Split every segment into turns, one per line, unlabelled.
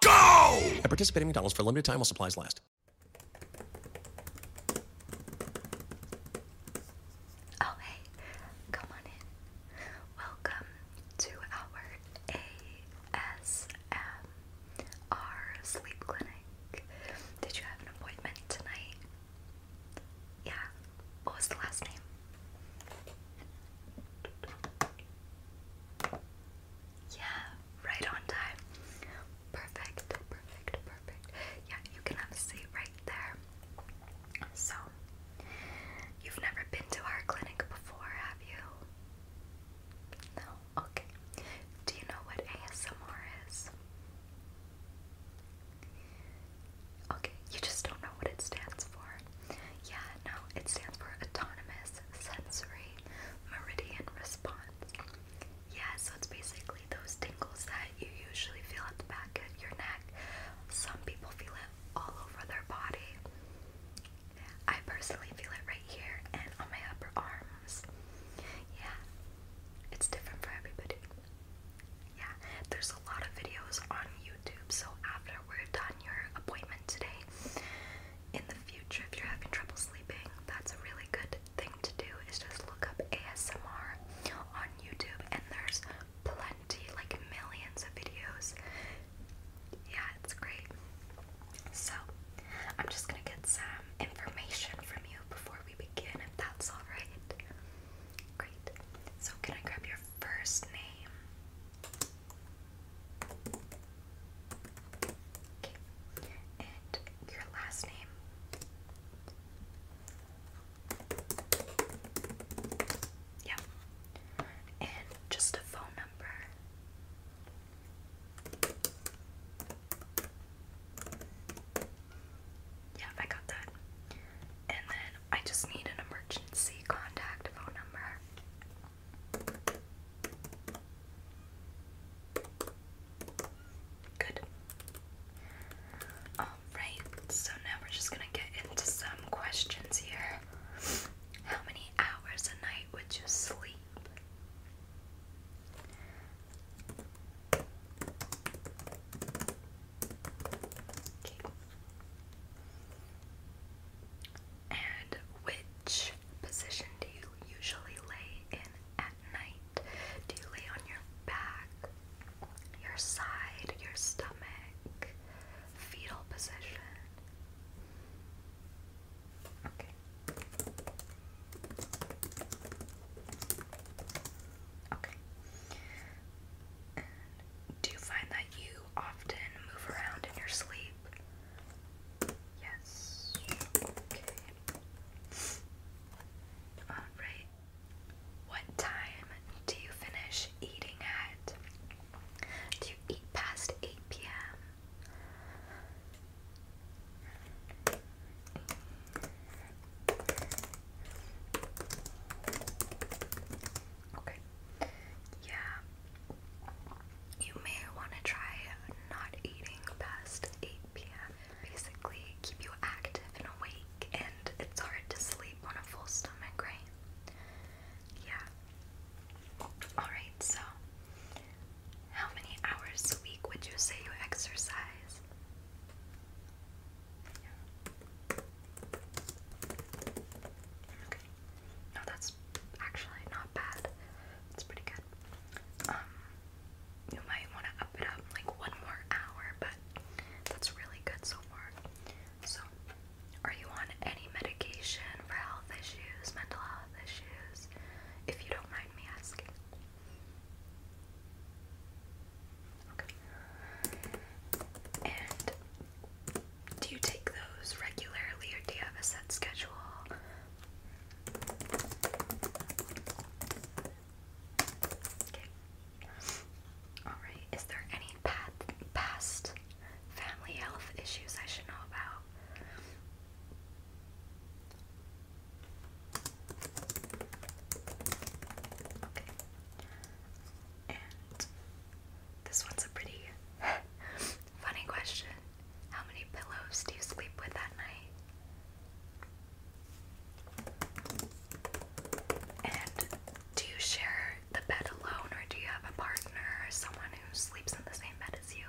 go! At participating McDonald's for a limited time while supplies last. Oh, hey, come on in. Welcome to our ASMR sleep clinic. Did you have an appointment tonight? Yeah. What was the last name? Yeah, right on time. Perfect, perfect, perfect. Yeah, you can have a seat right there. So, you've never been to our clinic before, have you? No? Okay. Do you know what ASMR is? Okay, you just don't know what it stands for. Yeah, no, it stands for Autonomous Sensory Meridian Response. Yeah, so it's basically those tingles that you usually feel at the back of your neck. Some people feel it all over their body. I personally feel it right here and on my upper arms. Yeah, it's different for everybody. Yeah, there's a lot of videos on so after we're done your appointment today, in the future, if you're having trouble sleeping, that's a really good thing to do is just look up ASMR on YouTube, and there's plenty, like millions of videos. Yeah, it's great. So, I'm just gonna get some information from you before we begin, if that's alright. Great. So, can I grab your first name? Okay. And your last name. Yeah. And just a phone number. Yeah, I got that. And then I just need an emergency contact phone number. Good. Alright, so now we're just gonna get into some questions here. How many hours a night would you sleep? And which position do you usually lay in at night? Do you lay on your back, your side, your stomach, fetal position? Okay do you find that you often move around in your sleep? Yes. Okay. Alright. What time do you finish eating at? Do you eat past 8 p.m.? Okay. Yeah. You may want to try not eating past 8 p.m. Basically, keep you active and awake, and it's hard to sleep on a full stomach, right? Yeah. Alright, so how many hours a week would you say you exercise? Okay. No, that's actually not bad. It's pretty good. Um, you might want to up it up like one more hour, but that's really good so far. So, are you on any medication for health issues, mental health issues? If you don't mind me asking. Okay. And do you take those regularly or do you have a set schedule? Okay. Alright, is there any pat past family health issues I should know about? Okay this one's a pretty funny question. How many pillows do you sleep with at night? And do you share the bed alone, or do you have a partner or someone who sleeps in the same bed as you?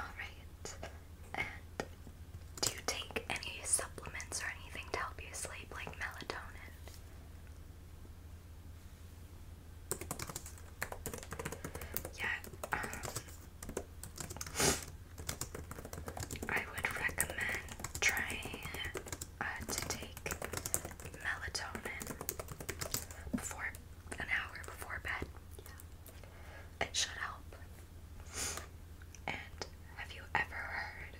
Alright do you take any supplements or anything to help you sleep, like melatonin? Yeah, um, I would recommend trying uh, to take melatonin before an hour before bed. It should help. And have you ever heard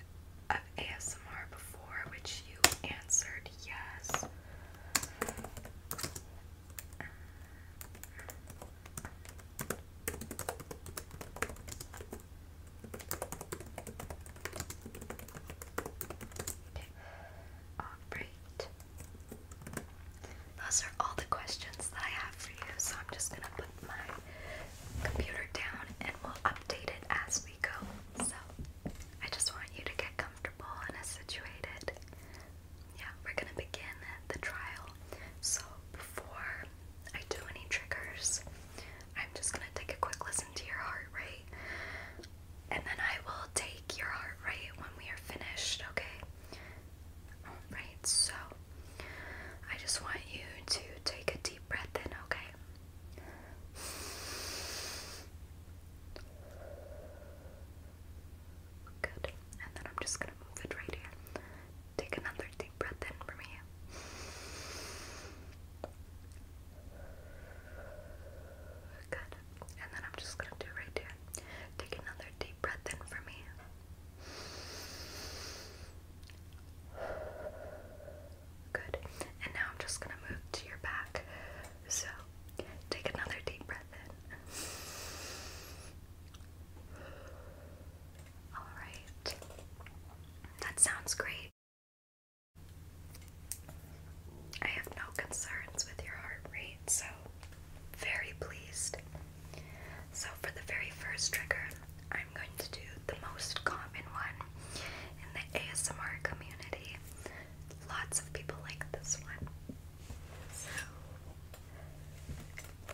of ASMR before, which you answered yes? Okay. All right. Those are all the questions that I have for you, so I'm just gonna put my computer down and we'll update it as we go. So I just want you to get comfortable and situated. Yeah, we're gonna begin the trial. So before I do any triggers, I'm just gonna take a quick listen to your heart rate. And then I will take your heart rate when we are finished, okay? Alright, so I just want you to take a deep breath in, okay? Good. And then I'm just gonna move it right here. Take another deep breath in for me. Good. And then I'm just gonna do right here. Take another deep breath in for me. Good. And now I'm just going to move to your back. So take another deep breath in. Alright. That sounds great. I have no concerns with your heart rate, so very pleased. So, for the very first trigger, I'm going to do the most common one in the ASMR community. Lots of people like this one. So,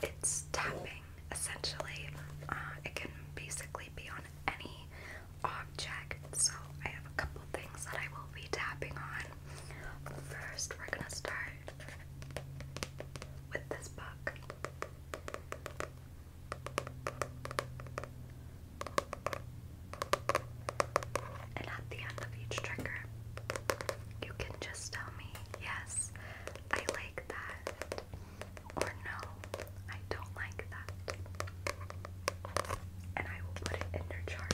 it's tapping essentially. Uh, it can basically be on any object. So, I have a couple things that I will be tapping on. First, we're gonna start with this book. And at the end of each trigger, you can just tell me, yes, I like that, or no, I don't like that. And I will put it in your chart.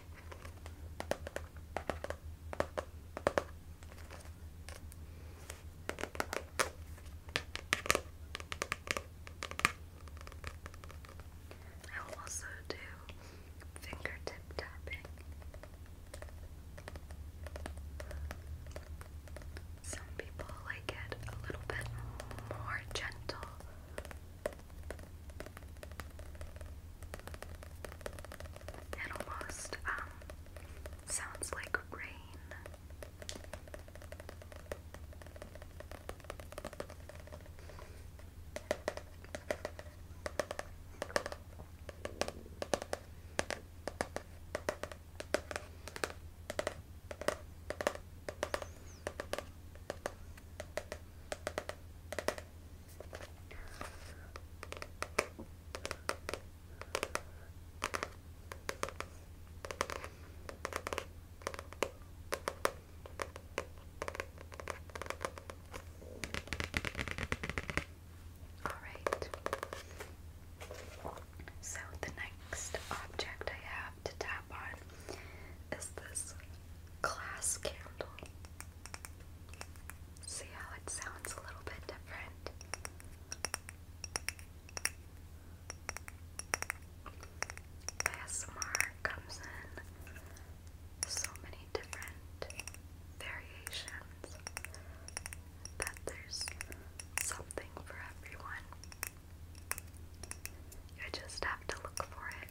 I will also do fingertip tapping. Some people like it a little bit more gentle it almost um, sounds like rain. All right. So the next object I have to tap on is this glass candle. See how it sounds a little bit different. ASMR comes in so many different variations that there's something for everyone. You just have to look for it.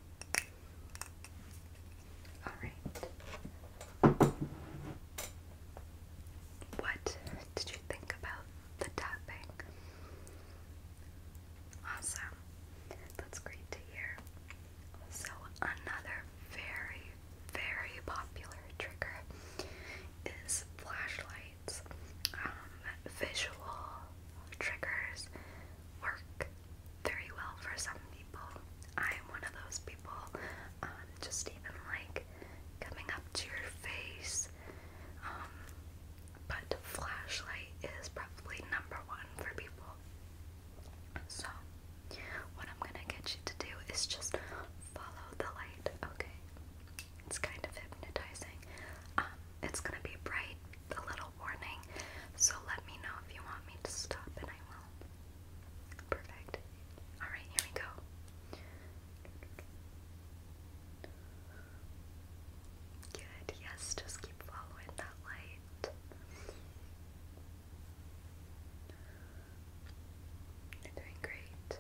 All right. What did you think about the tapping? Awesome. That's great to hear. So, another very, very popular trigger is flashlights. Um, visual triggers work very well for some people. I'm one of those people, um, just even like coming up to your face. Um, but flashlight is probably number one for people. So, what I'm gonna get you to do is just follow the light, okay? It's kind of hypnotizing. Um, it's gonna be bright, a little warning. So let me know if you want me to stop and I will. Perfect. Alright, here we go. Good, yes, just keep following that light. You're doing great.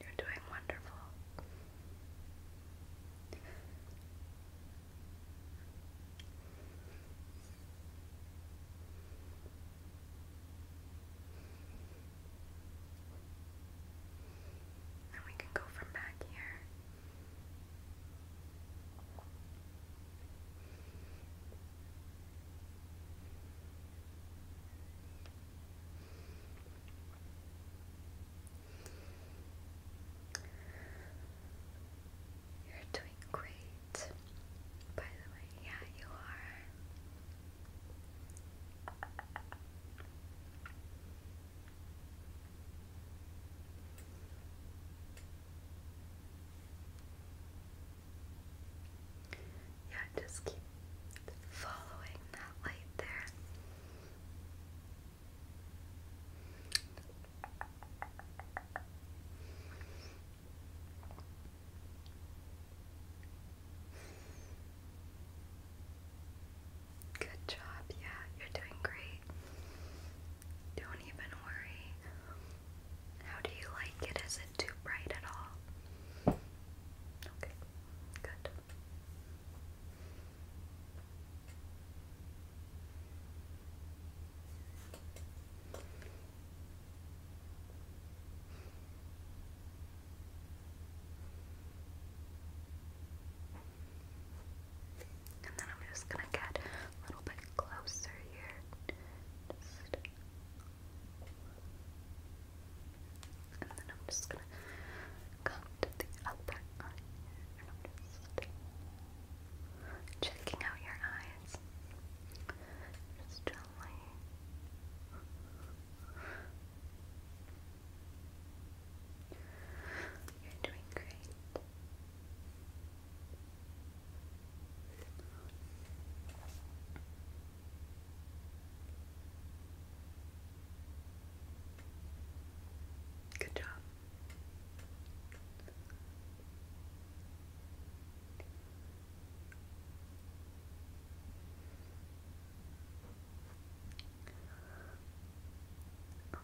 You're doing wonderful. And we can go from back here. You're doing great. By the way, yeah, you are. Yeah, just following that light there. Good job. Yeah, you're doing great. Don't even worry. How do you like it? Is it too bright at all? Okay, good. And then I'm just gonna get a little bit closer here. Just... And then I'm just gonna come to the upper eye here. And I'm just checking out your eyes. Just gently. You're doing great. Good job. Alright.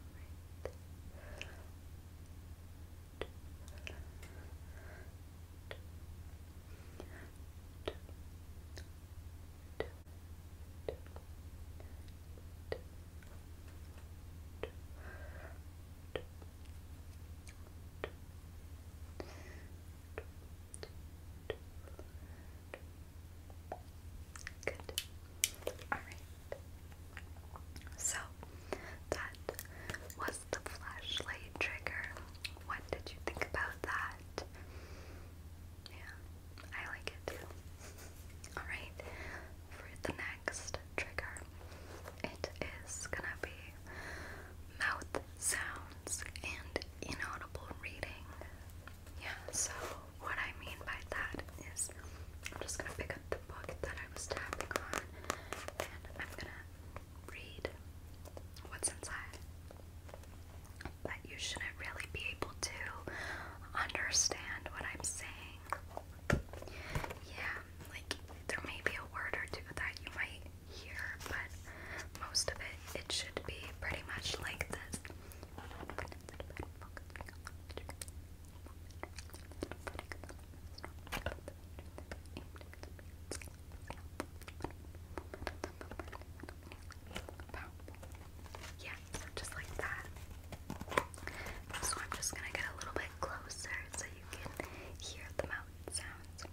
Good. All right. So that was the flashlight trigger. What did you think about that? Yeah, I like it Alright, for the next trigger, it is gonna be mouth sounds and inaudible reading. Yeah, so what I mean by that is, I'm just gonna pick up the book that I was tapping on and I'm gonna read what's inside. But you shouldn't really be able to understand what I'm saying. Yeah, like there may be a word or two that you might hear, but most of it, it should be pretty much like this. Yeah, just like that. So I'm just gonna get a little bit closer so you can hear the mouth sounds.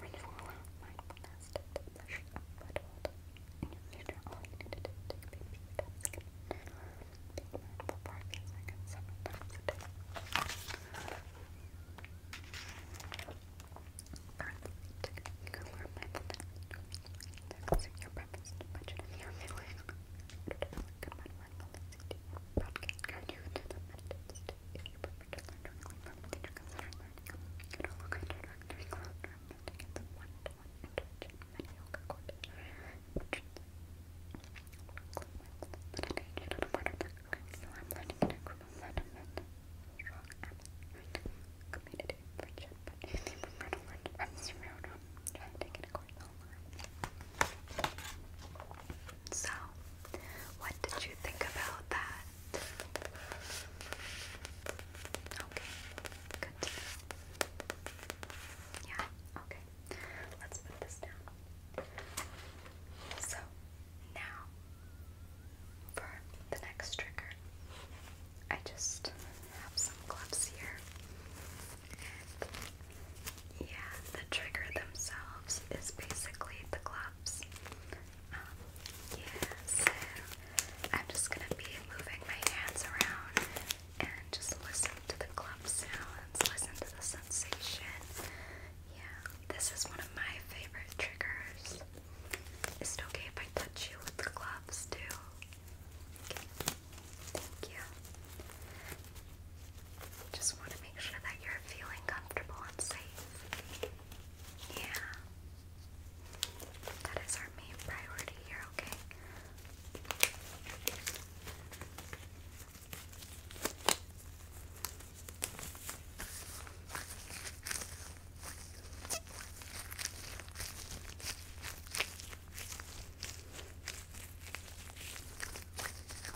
Renewal mindfulness to flush a butthole in your future. All you need to do is take a baby steps again. Be mindful for a few seconds, several times a day. Currently, you can learn mindfulness to your purpose, to budget, and your feeling. Good mindfulness, you do your podcast, you do the meditations, if you prefer to learn directly from a teacher, consider learning a Moodle instructor cloud room that gets a one-to-one interaction, many yoga courses, instructions, meditation, and one of the so I'm learning in a group of sentiment, strong apps, community, friendship, but if you prefer to learn from zero, try to take it a course online. So, what did you think about that? Okay, good Yeah, okay. Let's put this down. So, now for the next trigger, I just have some gloves here. yeah, the trigger themselves is basically the gloves. Um, yeah, I'm just gonna be moving my hands around and just listen to the clump sounds, listen to the sensation. Yeah, this is one of my favorite triggers. Is it okay if I touch you with the gloves too? Thank you. Just want to make sure that you're feeling comfortable and safe. Yeah. That is our main priority here, okay?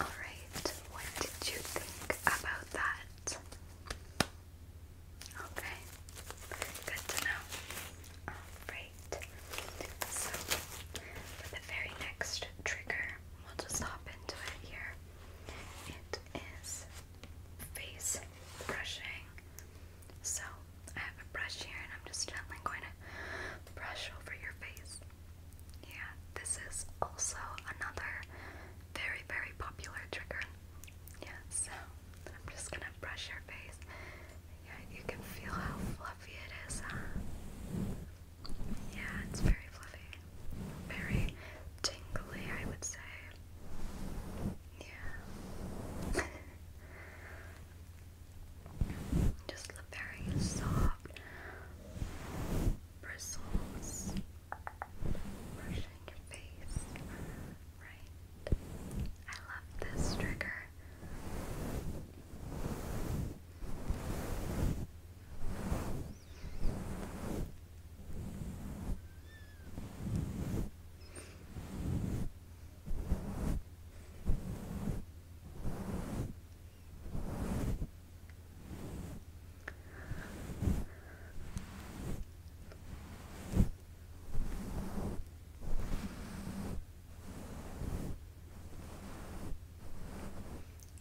Alright, what did you think about that? Okay, good to know. Alright, so for the very next trigger, we'll just hop into it here. It is face brushing. So I have a brush here and I'm just gently going to brush over your face. Yeah, this is also another very, very popular trigger. Yeah, so I'm just gonna brush your face. Yeah, you can feel how fluffy it is, Yeah, it's very fluffy. Very tingly, I would say. Yeah. Just very soft bristles brushing your face. Right. I love this trigger.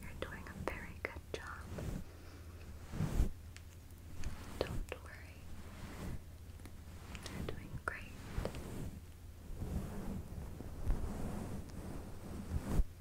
You're doing a very good job. Don't worry. You're doing great.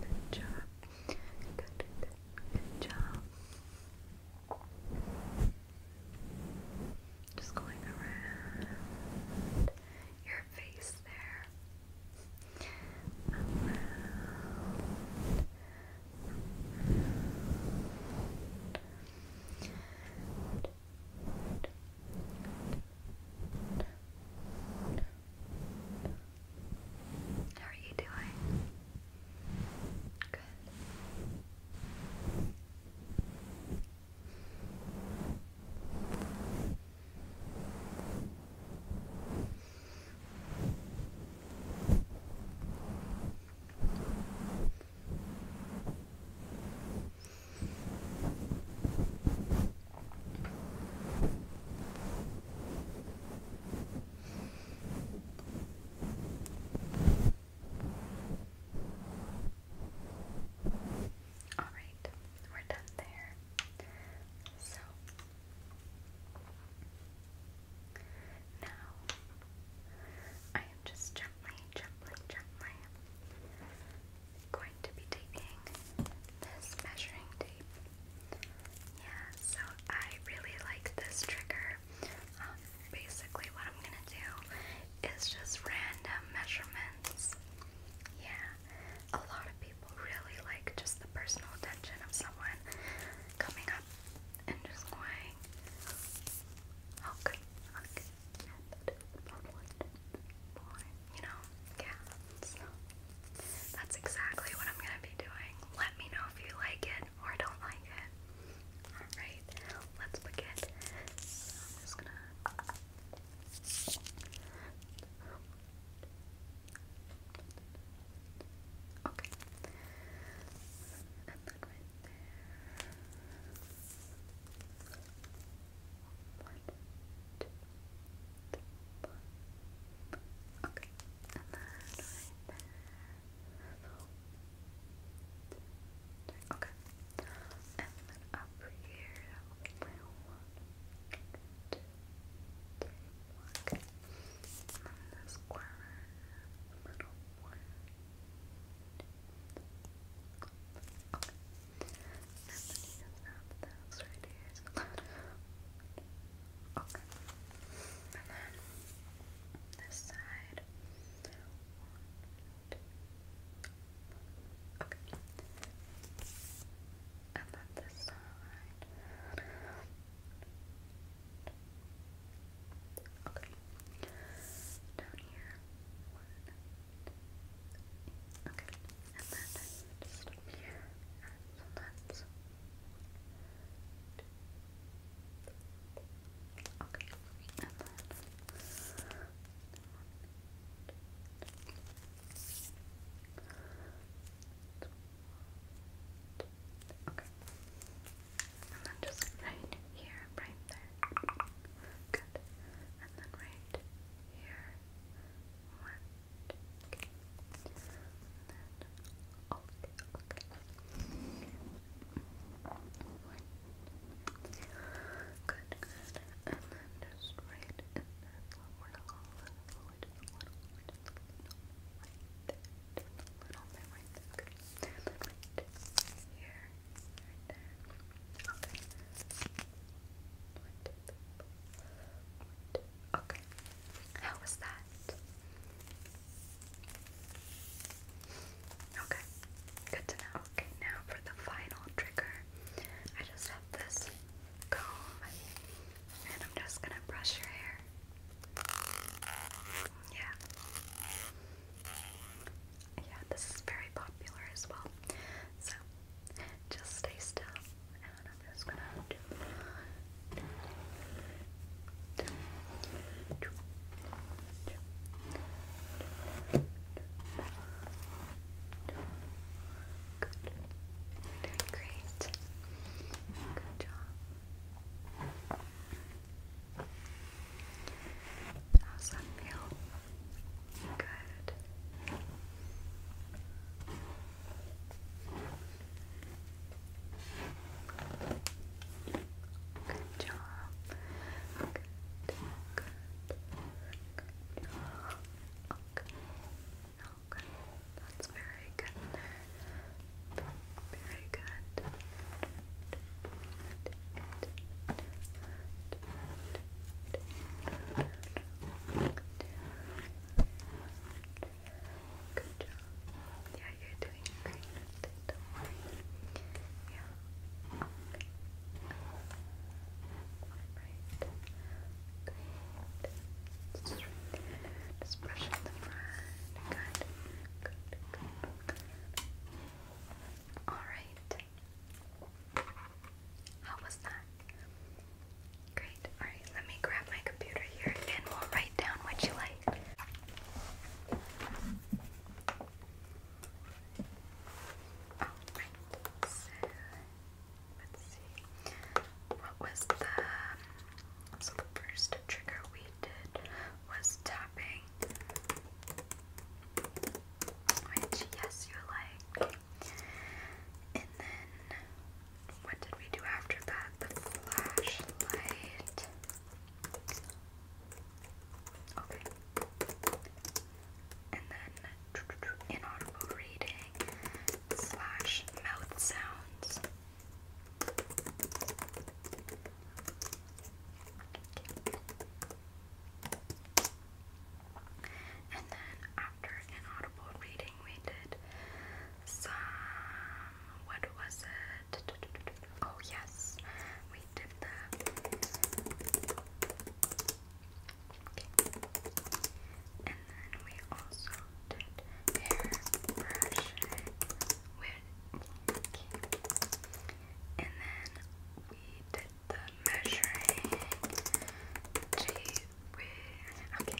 Good job. Good, good job. Just going around your face there. Around. How are you doing? Good. Alright, we're done there. So now I am just gently, gently, gently going to be taking this measuring tape yeah, so I really like this trigger. Um, basically, what I'm gonna do is just random measurements. Yeah, a lot of people really like just the personal attention of someone coming up and just going, okay, okay, you know, yeah, that's exactly what I'm gonna be doing. Let me know if you like it or don't like it. Alright, let's begin. So I'm just gonna. Okay. And then right there. One, two, three, four. Okay. And then right there. Okay. And then up here, that will be my one, two, three, one. Okay. And then this corner, the middle one. Okay. And then you have this right here. So Okay. And then this side. Okay. And then this side. Okay. Down here. Okay. And then just here. And so that's Okay, and then just right here, right there. Good. And then right here work. Okay. And then, okay, okay. One. Good, And then just right in there. Forward a little, little little, little, there. little bit right there. Good. And then here, right there. Okay. Okay. How was that? Okay. Good to know. Okay, now for the final trigger. I just have this comb and I'm just gonna brush your hair. Yeah. Yeah, this is very popular as well. So just stay still, and I'm just gonna do Great. Good job. How's feel? Good. Good job. Good, good, good job. Okay. That's very good Very Good. Good job. Yeah, you're doing great. Yeah. Alright. Great. Just, brush the front. Good. Good. Good. Alright. How was that? Great. Alright, let me grab my computer here and we'll write down what you like. Alright, so let's see. What was the. So the first trigger we did was tapping, which, yes, you like. And then what did we do after that? The flashlight. Okay. And then inaudible reading slash mouth sounds. And then after an audible reading, we did some. What was it? Oh, yes. We did the. And then we also did hair with And then we did the measuring tape Okay. Right.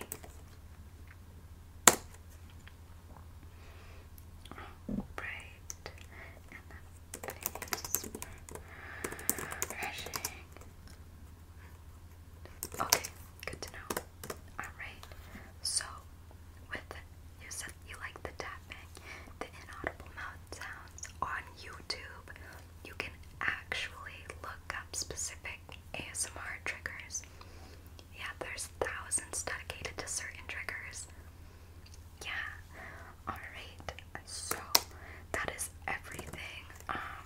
Okay, good to know. Alright. So with you said you like the tapping, the inaudible mouth sounds on YouTube. You can actually look up specific ASMR triggers. Yeah, there's thousands dedicated to certain triggers. Yeah. Alright, so that is everything. Um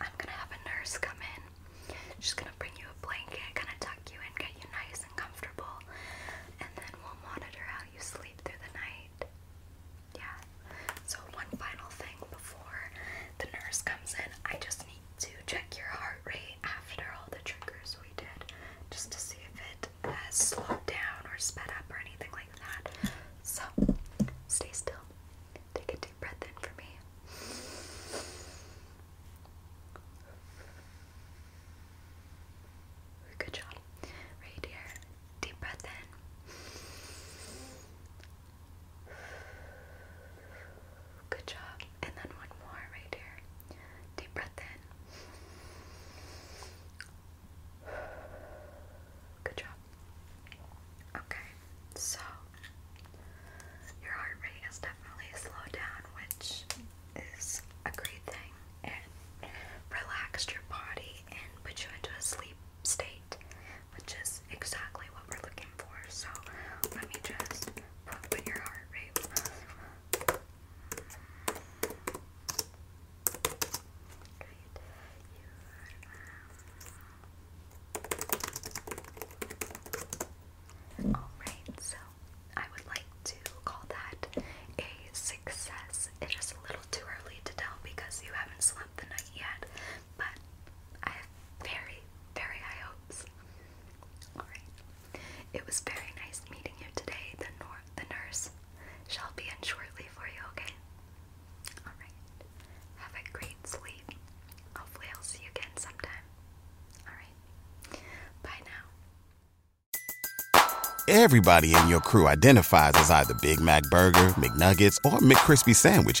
I'm gonna have a nurse come in. She's gonna bring you a blanket, kinda tuck you in, get you nice and comfortable, and then we'll monitor how you sleep through the night. Yeah. So one final thing before the nurse comes in, I just need to check your heart rate after all the triggers we did, just to see if it has slowed down or sped up or anything like that. So stay still. Take a deep breath in for me. Good job. Right here. Deep breath in. Good job. And then one more right here. Deep breath in. Good job. Okay, so your heart rate has definitely slowed down, which is a great thing. It relaxed your body and put you into a sleep state which is exactly what we're looking for. So let me just put your heart rate. Great. All right, so I would like to call that a success. It is a little too early to tell because you haven't slept the night yet but I have very, very high hopes. Alright. It was very nice meeting you today. The, nurse shall be in shortly for you, okay? Alright. Have a great sleep. Hopefully, I'll see you again sometime. Alright. Bye now. Everybody in your crew identifies as either Big Mac Burger, McNuggets, or McCrispy Sandwich